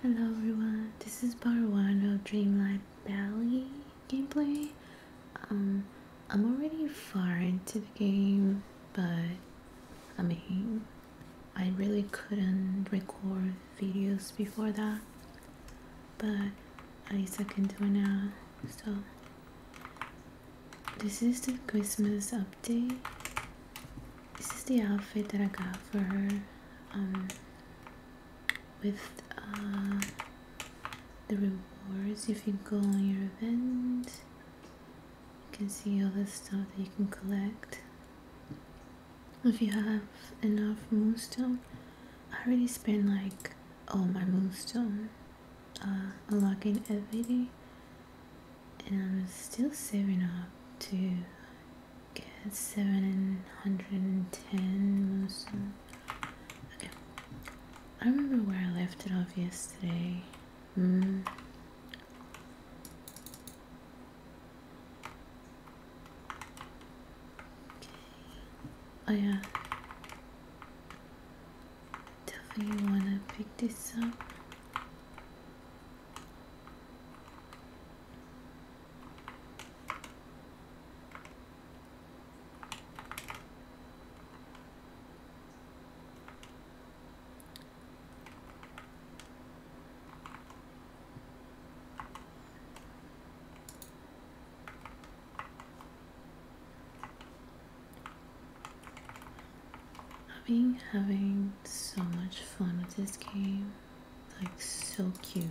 Hello everyone, this is Baruano Dreamlight Valley gameplay. Um, I'm already far into the game, but I mean, I really couldn't record videos before that, but I can into it now. So, this is the Christmas update this is the outfit that I got for her um, with uh, the rewards if you go on your event. You can see all the stuff that you can collect. If you have enough moonstone, I already spent like all my moonstone uh, unlocking everything and I was still saving up to get 710 most okay I remember where I left it off yesterday mm. okay. oh yeah definitely wanna pick this up I've been having so much fun with this game like so cute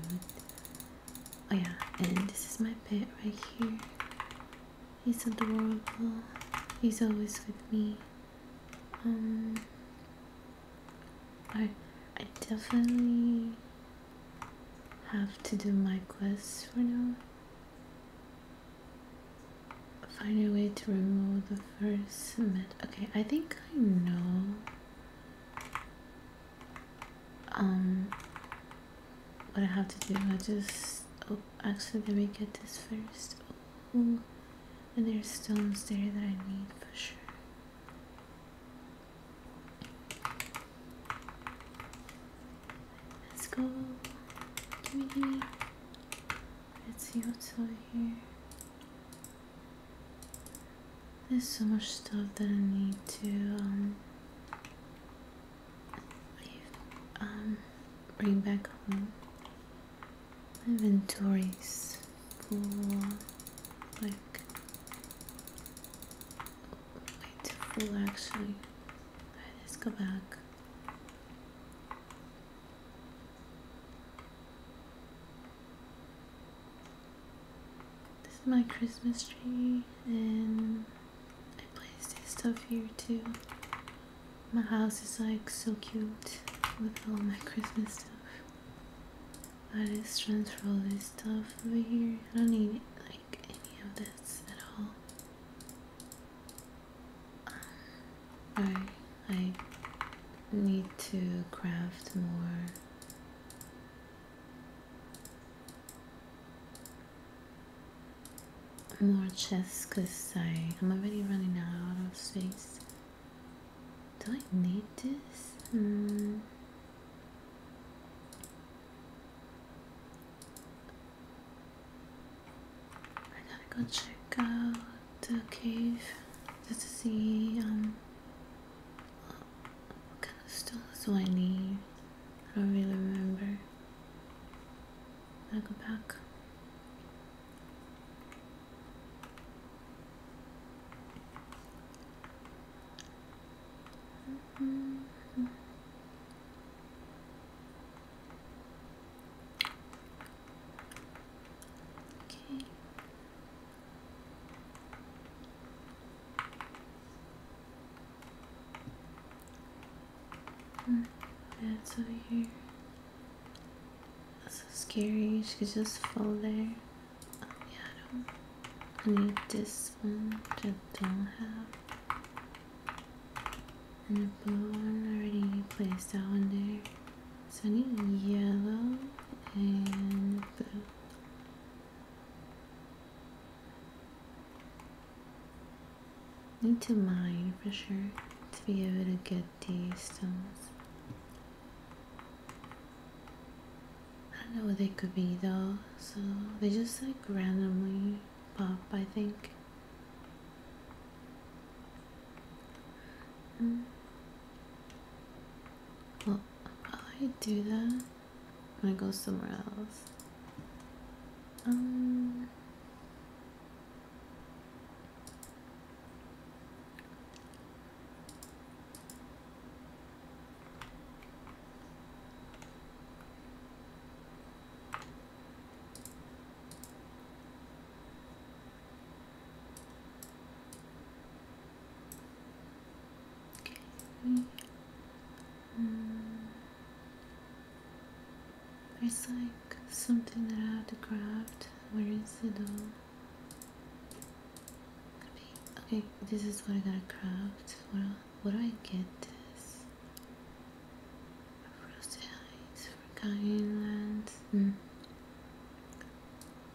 oh yeah and this is my pet right here he's adorable he's always with me um I, I definitely have to do my quest for now find a way to remove the First submit. Okay, I think I know um what I have to do. I just oh actually let me get this first. Ooh. And there's stones there that I need for sure. Let's go. Gimme, gimme. Let's see what's over here. There's so much stuff that I need to um, um, bring back home. My inventory is full, like, too full actually. Right, let's go back. This is my Christmas tree and I placed this stuff here too. My house is like so cute with all my Christmas stuff. I just transfer all this stuff over here. I don't need like any of this at all. Um, I need to craft more more chests because I'm already running out of space. Do I need this? Mm. I gotta go check out the cave. This is the, um, what kind of stones do I need? I don't really remember. I'll go back. Mm-hmm. Okay. Hmm. That's over here. That's so scary. She could just fall there. Oh, yeah, I don't I need this one I don't have. And the blue one already placed that one there sunny yellow and Need to mine for sure to be able to get these stones. I don't know what they could be though, so they just like randomly pop, I think. Mm. Well, I do that, I'm gonna go somewhere else. Um. Okay. Um, mm. there's like something that I have to craft. Where is it all? Okay, this is what I gotta craft. What, what do I get this? Frosted Heights, Forgotten Lands. Mm.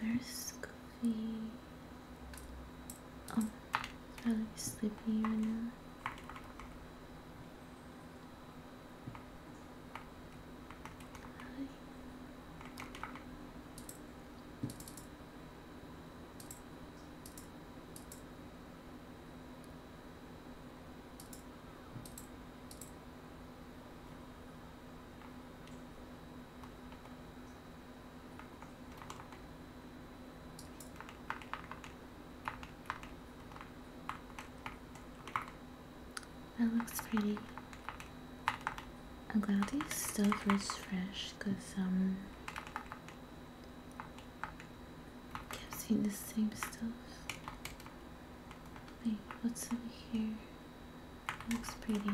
Where's Goofy? Oh, he's probably sleeping right now. That looks pretty. I'm glad these stuff are fresh because um kept seeing the same stuff. Wait, what's over here? Looks pretty.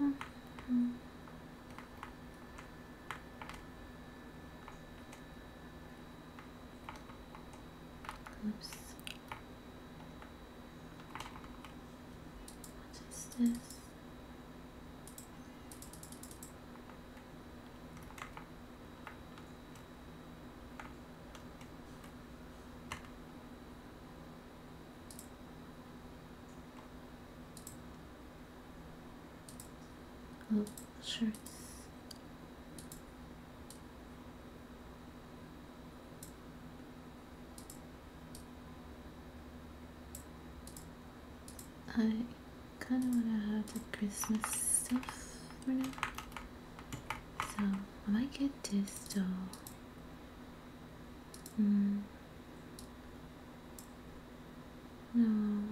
Mm -hmm. Oops. What is this? Oh, shirts. I kind of want to have the Christmas stuff for now. So I might get this doll. Hmm. No.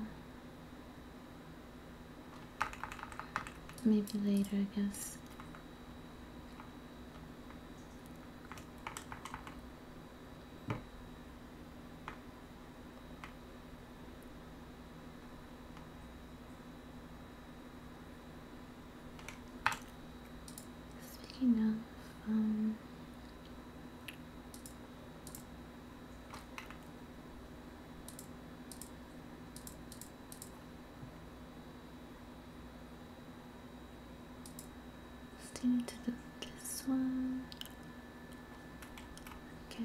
Maybe later, I guess. Speaking of, um, still need to do this one okay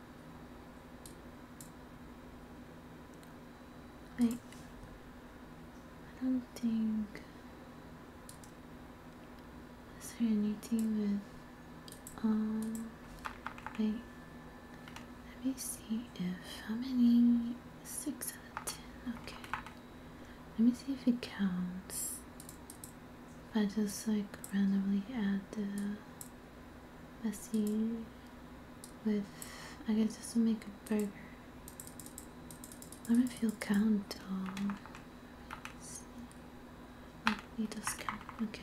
Wait. I don't think is there anything with um wait let me see if how many six out of ten okay let me see if it counts if I just like randomly add the messy with I guess this will make a burger. I don't know if you'll count on. oh, he does count, okay.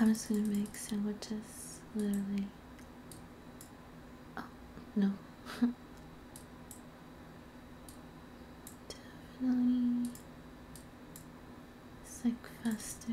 I'm just gonna make sandwiches, literally. Oh, no. Definitely. It's like faster.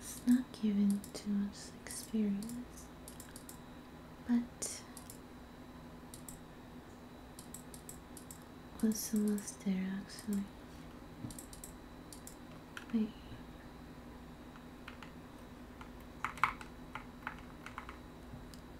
It's not given too much experience, but was someone's there actually. Wait.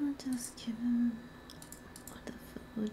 I'll just give him the food.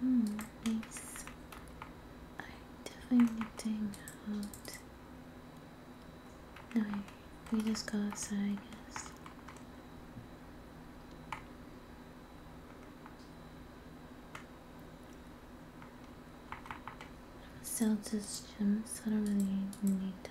Hmm, nice. I definitely need to hang out. No, we just go outside, I guess. Sell this gym, I don't really need them.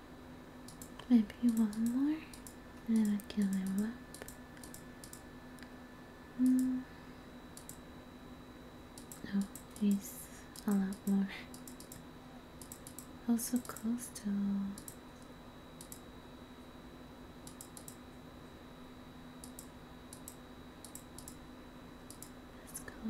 Maybe one more, and then I kill him up. Mm. No, he's a lot more. Also close to Let's go.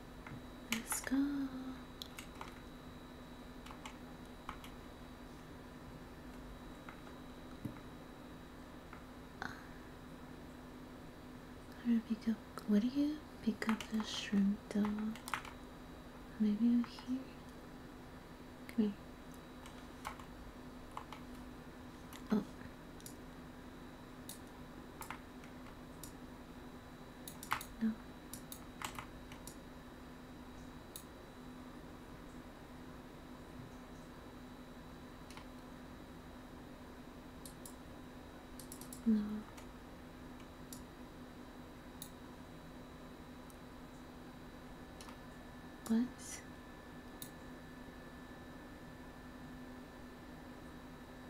Let's go. i pick up. What do you pick up the shrimp though? Maybe over here? Come here. Oh. No. No. What?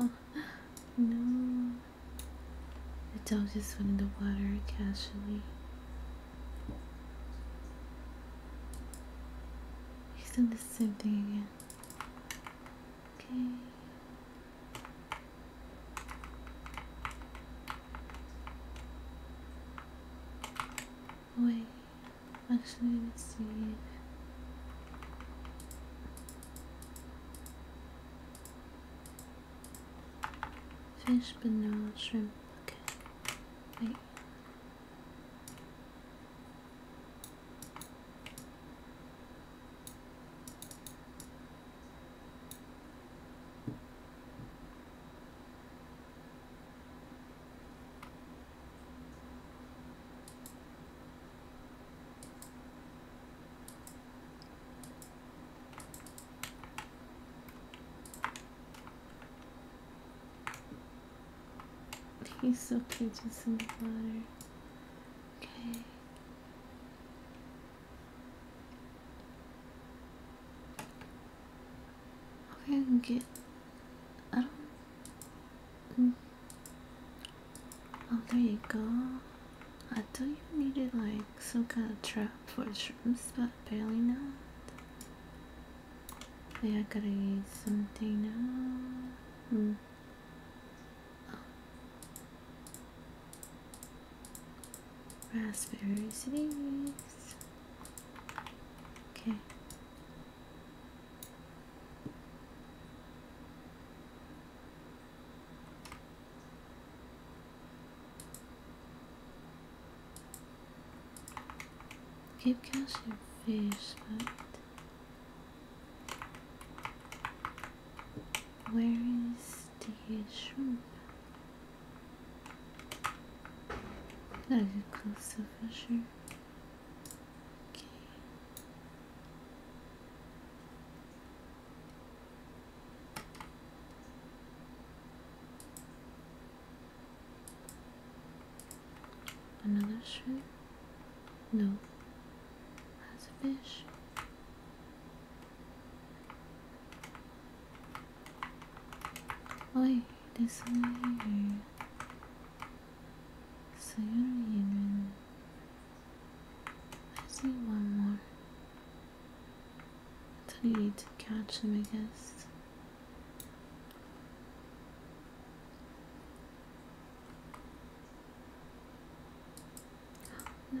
Oh no. The dog just went in the water casually. He's done the same thing again. Okay. Wait, actually, let's see. Fish, banana, shrimp. Okay. Wait. He's so cute just in the water. Okay. Okay, I can get. I don't. Mm. Oh, there you go. I thought you needed like some kind of trap for shrimps, but apparently not. Yeah, I gotta use something now. Hmm. Oh. Raspberries, Okay. Keep cast your but where is the shrimp? Gotta close to Fisher. Okay. Another shrimp? No. That's a fish. Oi, desligue. So you're human. I see one more. I need to catch them, I guess. No.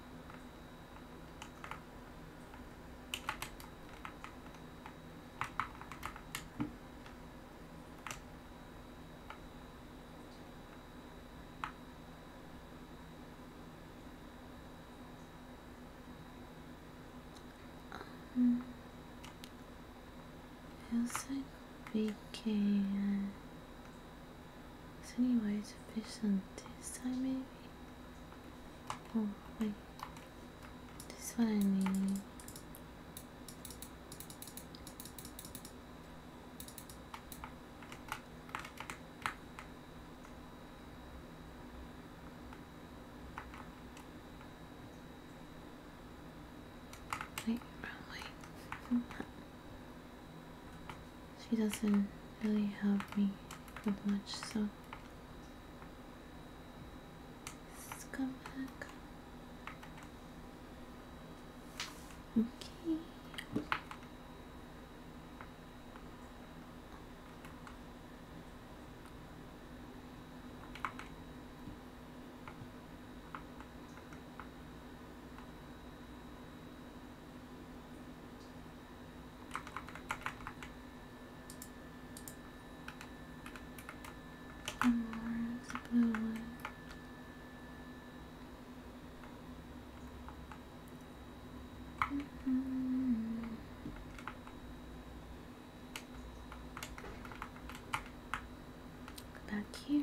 Um, I like we can is there any way to finish on this time, maybe? Oh wait. This one I mean. Wait, wrong she doesn't really help me with much, so let's come back. Okay. Where's the blue -hmm. Back here.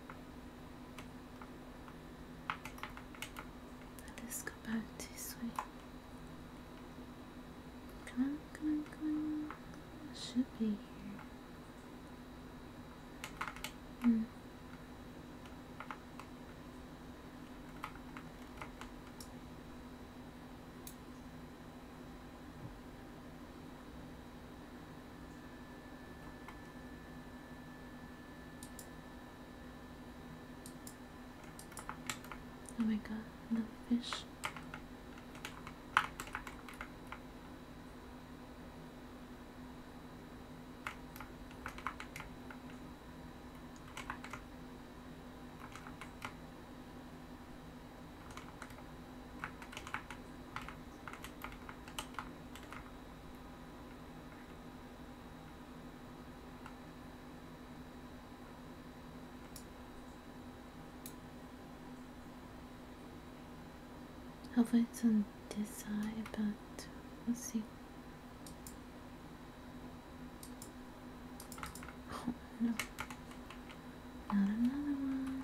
Let's go back this way. Come come come I should be here. Hmm. Oh my god, another fish. Hopefully it's on this side, but let's see. Oh no, not another one.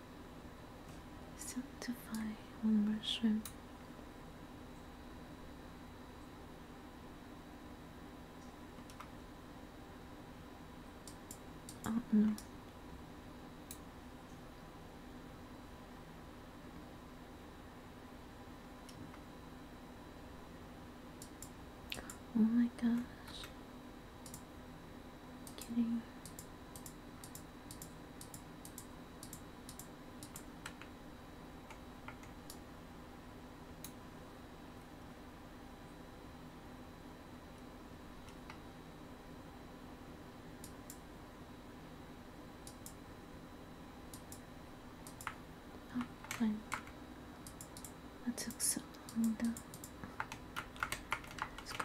to find one mushroom oh no Oh my gosh kidding. That oh, took so long though. Let's go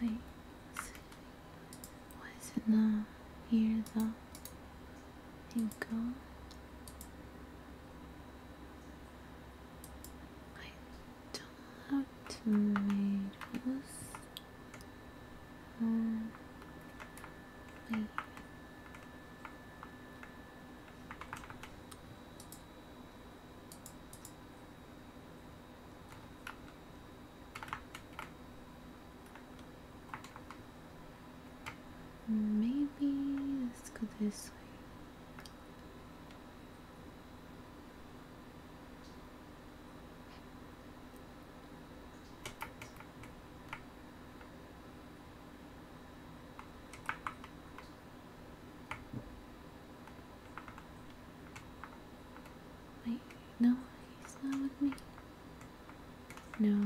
Wait, why is it not here though? Here we go. I don't have tomatoes. Um, wait. Maybe let's go this way. Wait, no, he's not with me. No.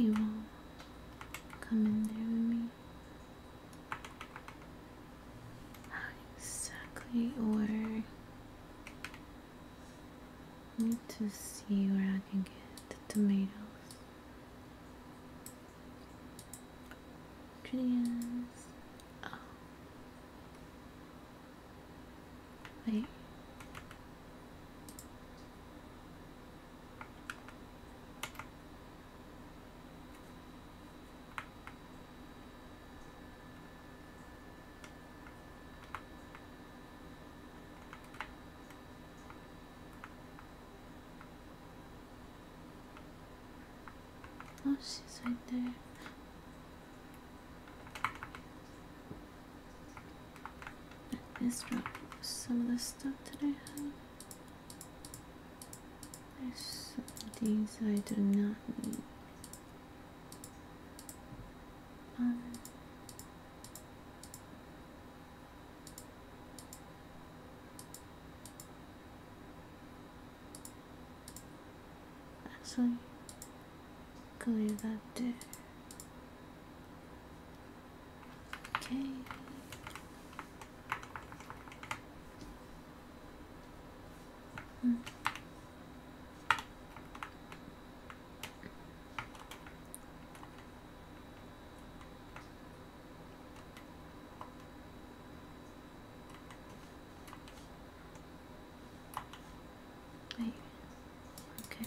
You will come in there with me. Not exactly, or need to see where I can get the tomatoes. Critias. Oh. Wait. Oh, she's right there. Let's drop some of the stuff that I have. There's some things I do not need. Um, Actually, could leave that there. Okay. Hmm. Wait. Okay.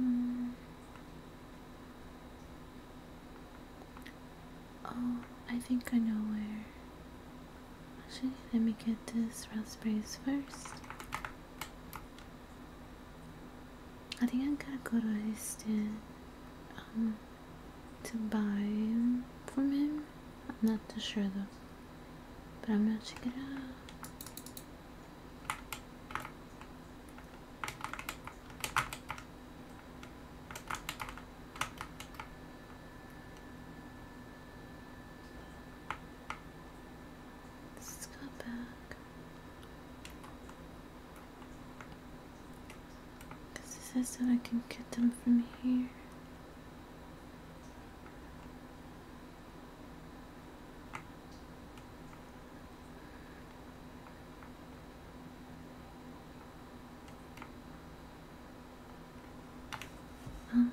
Mm. Oh, I think I know where. Actually, let me get this raspberries first. I think I'm gonna go to Houston. Um, to buy from him. I'm not too sure though. But I'm gonna check it out. Let's go back. Because this is that I can get them from here. Um.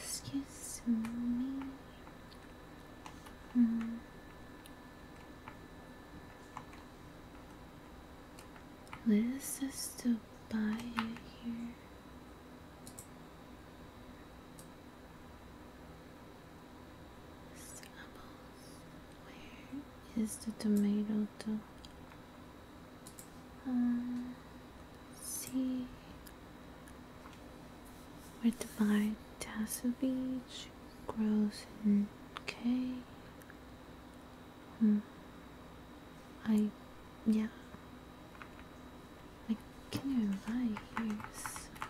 Excuse me. Mm. This buy here. Apples. Where is the tomato though? Uh, see where to buy Tassel Beach grows in K Hmm. I, yeah. I can invite you, so.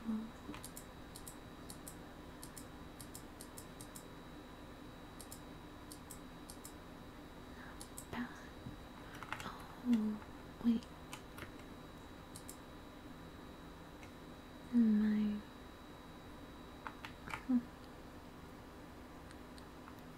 Bad. Oh, wait. My.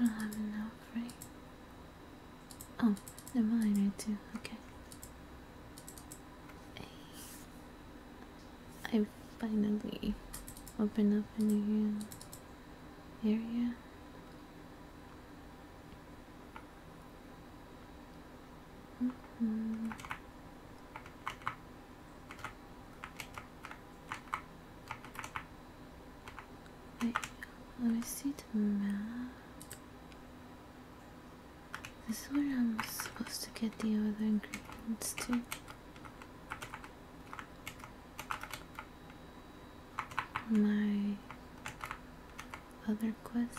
I don't have enough, right? Oh, never mind, I do. Okay. I finally open up a new area let mm-hmm. me see This is where I'm supposed to get the other ingredients to My other quest.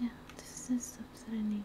Yeah, this is upsetting.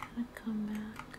I to come back.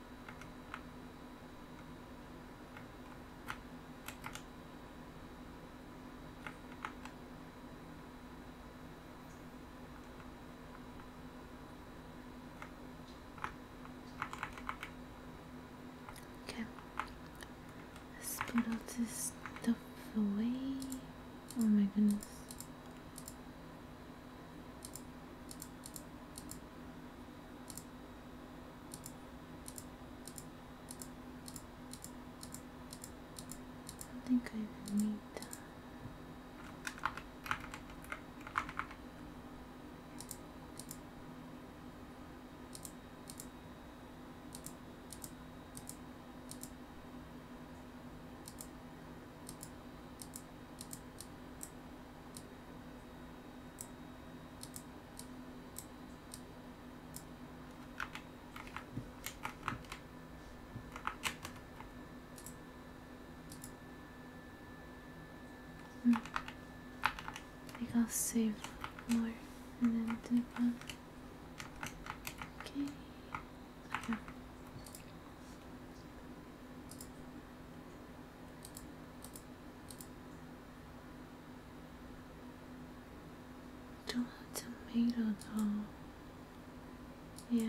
Okay, let's put all this stuff away. Oh my goodness. I think I need that. Hmm. I think I'll save more and then do one. Okay. okay. Don't have tomato though. Yeah.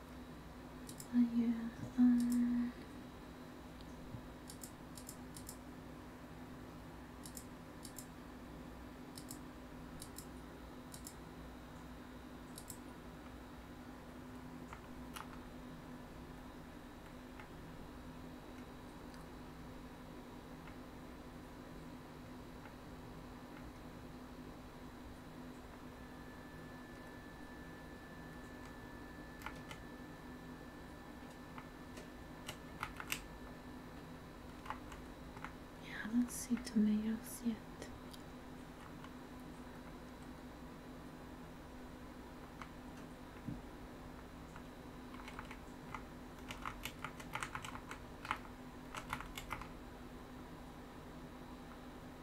Are you I don't see tomatoes yet.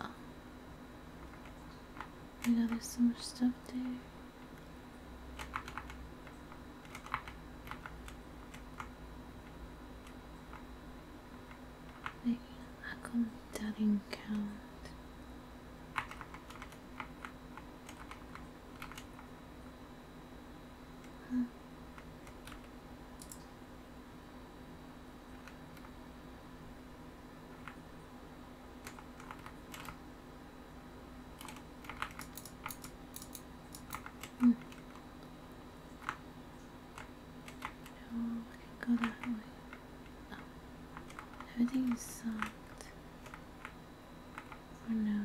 Oh. You know there's so much stuff there. Maybe how come that didn't count? Huh. Hmm. go that way. Oh. Everything is soft. For now.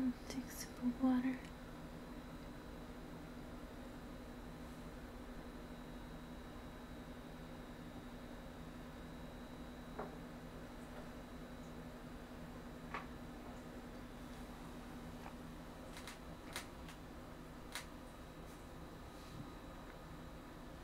Mm, take a sip of water.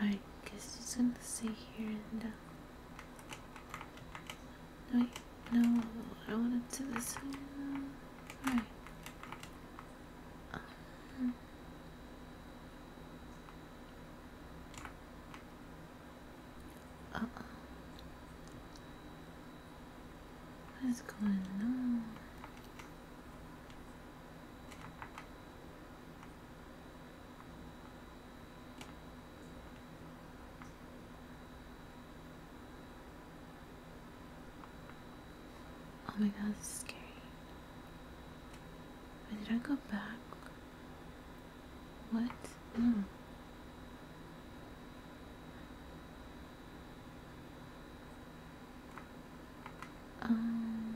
I guess it's gonna stay here and uh, wait, no, I wanted to this Alright. Um, oh. What is going on? Oh my god, this scary did I go back? What? No. Hmm. Um,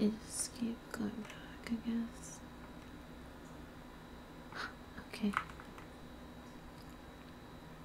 I keep going back, I guess. okay.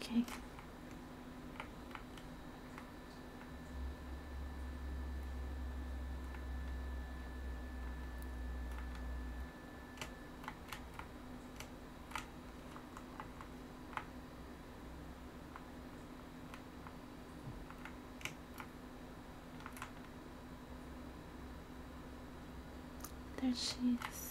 Okay. There she is.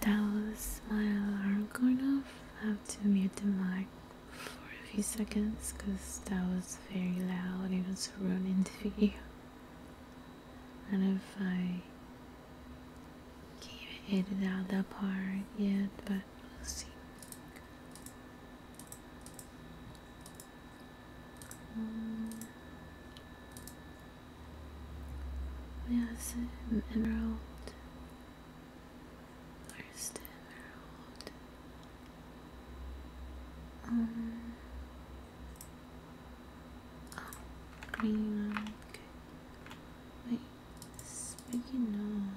Tao's smile aren't going off. I have to mute the mic for a few seconds because that was very loud. It was ruining the video. And if I can't hit it out that part yet, but we'll see. Um, emerald. Where's emerald? Um, Oh, green. Okay. Wait. Speaking of.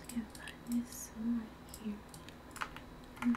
I can find this right here. Mm.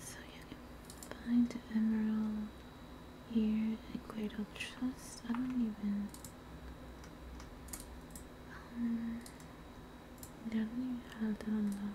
so you can find the emerald here at Great Old Trust. I don't even. Um, I don't even have that unlocked.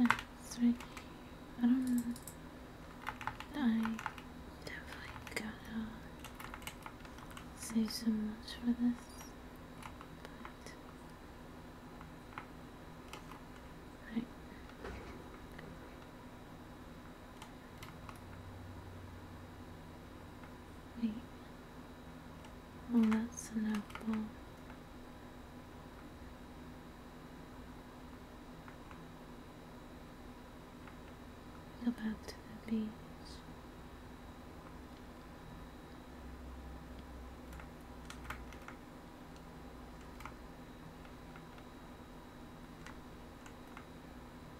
Yeah, it's um, I definitely gotta say so much for this. right. Wait. Well, oh, that's an apple. Go back to the beach.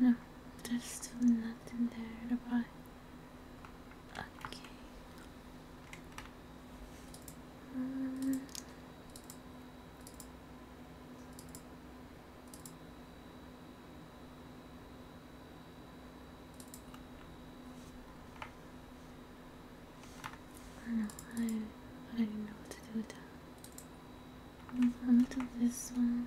No, there's still nothing there to buy. Okay. Um, I know, I, I didn't know what to do with that. I'm gonna do this one.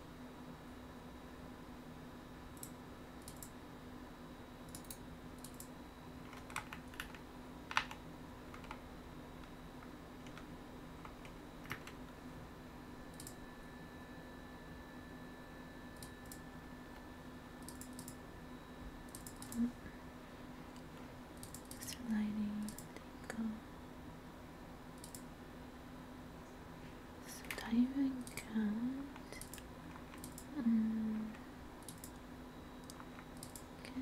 Extra there you go. So diving cat. Mm. Okay.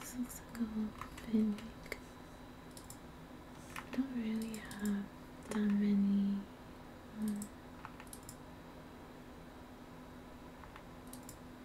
This looks like a little bit like I don't really have that many um,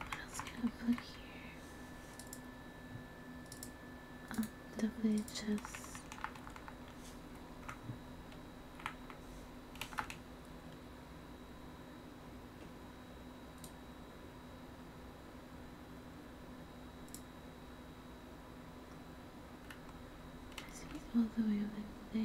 I else can I put here? Um, definitely just all the way over there.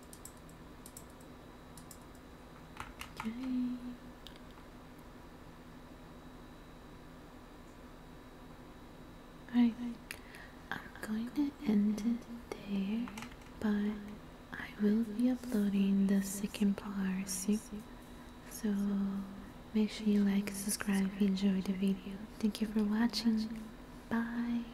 Okay. Alright, I'm going to end it there, but I will be uploading the second part So make sure you like, subscribe, if you enjoyed the video. Thank you for watching. Bye.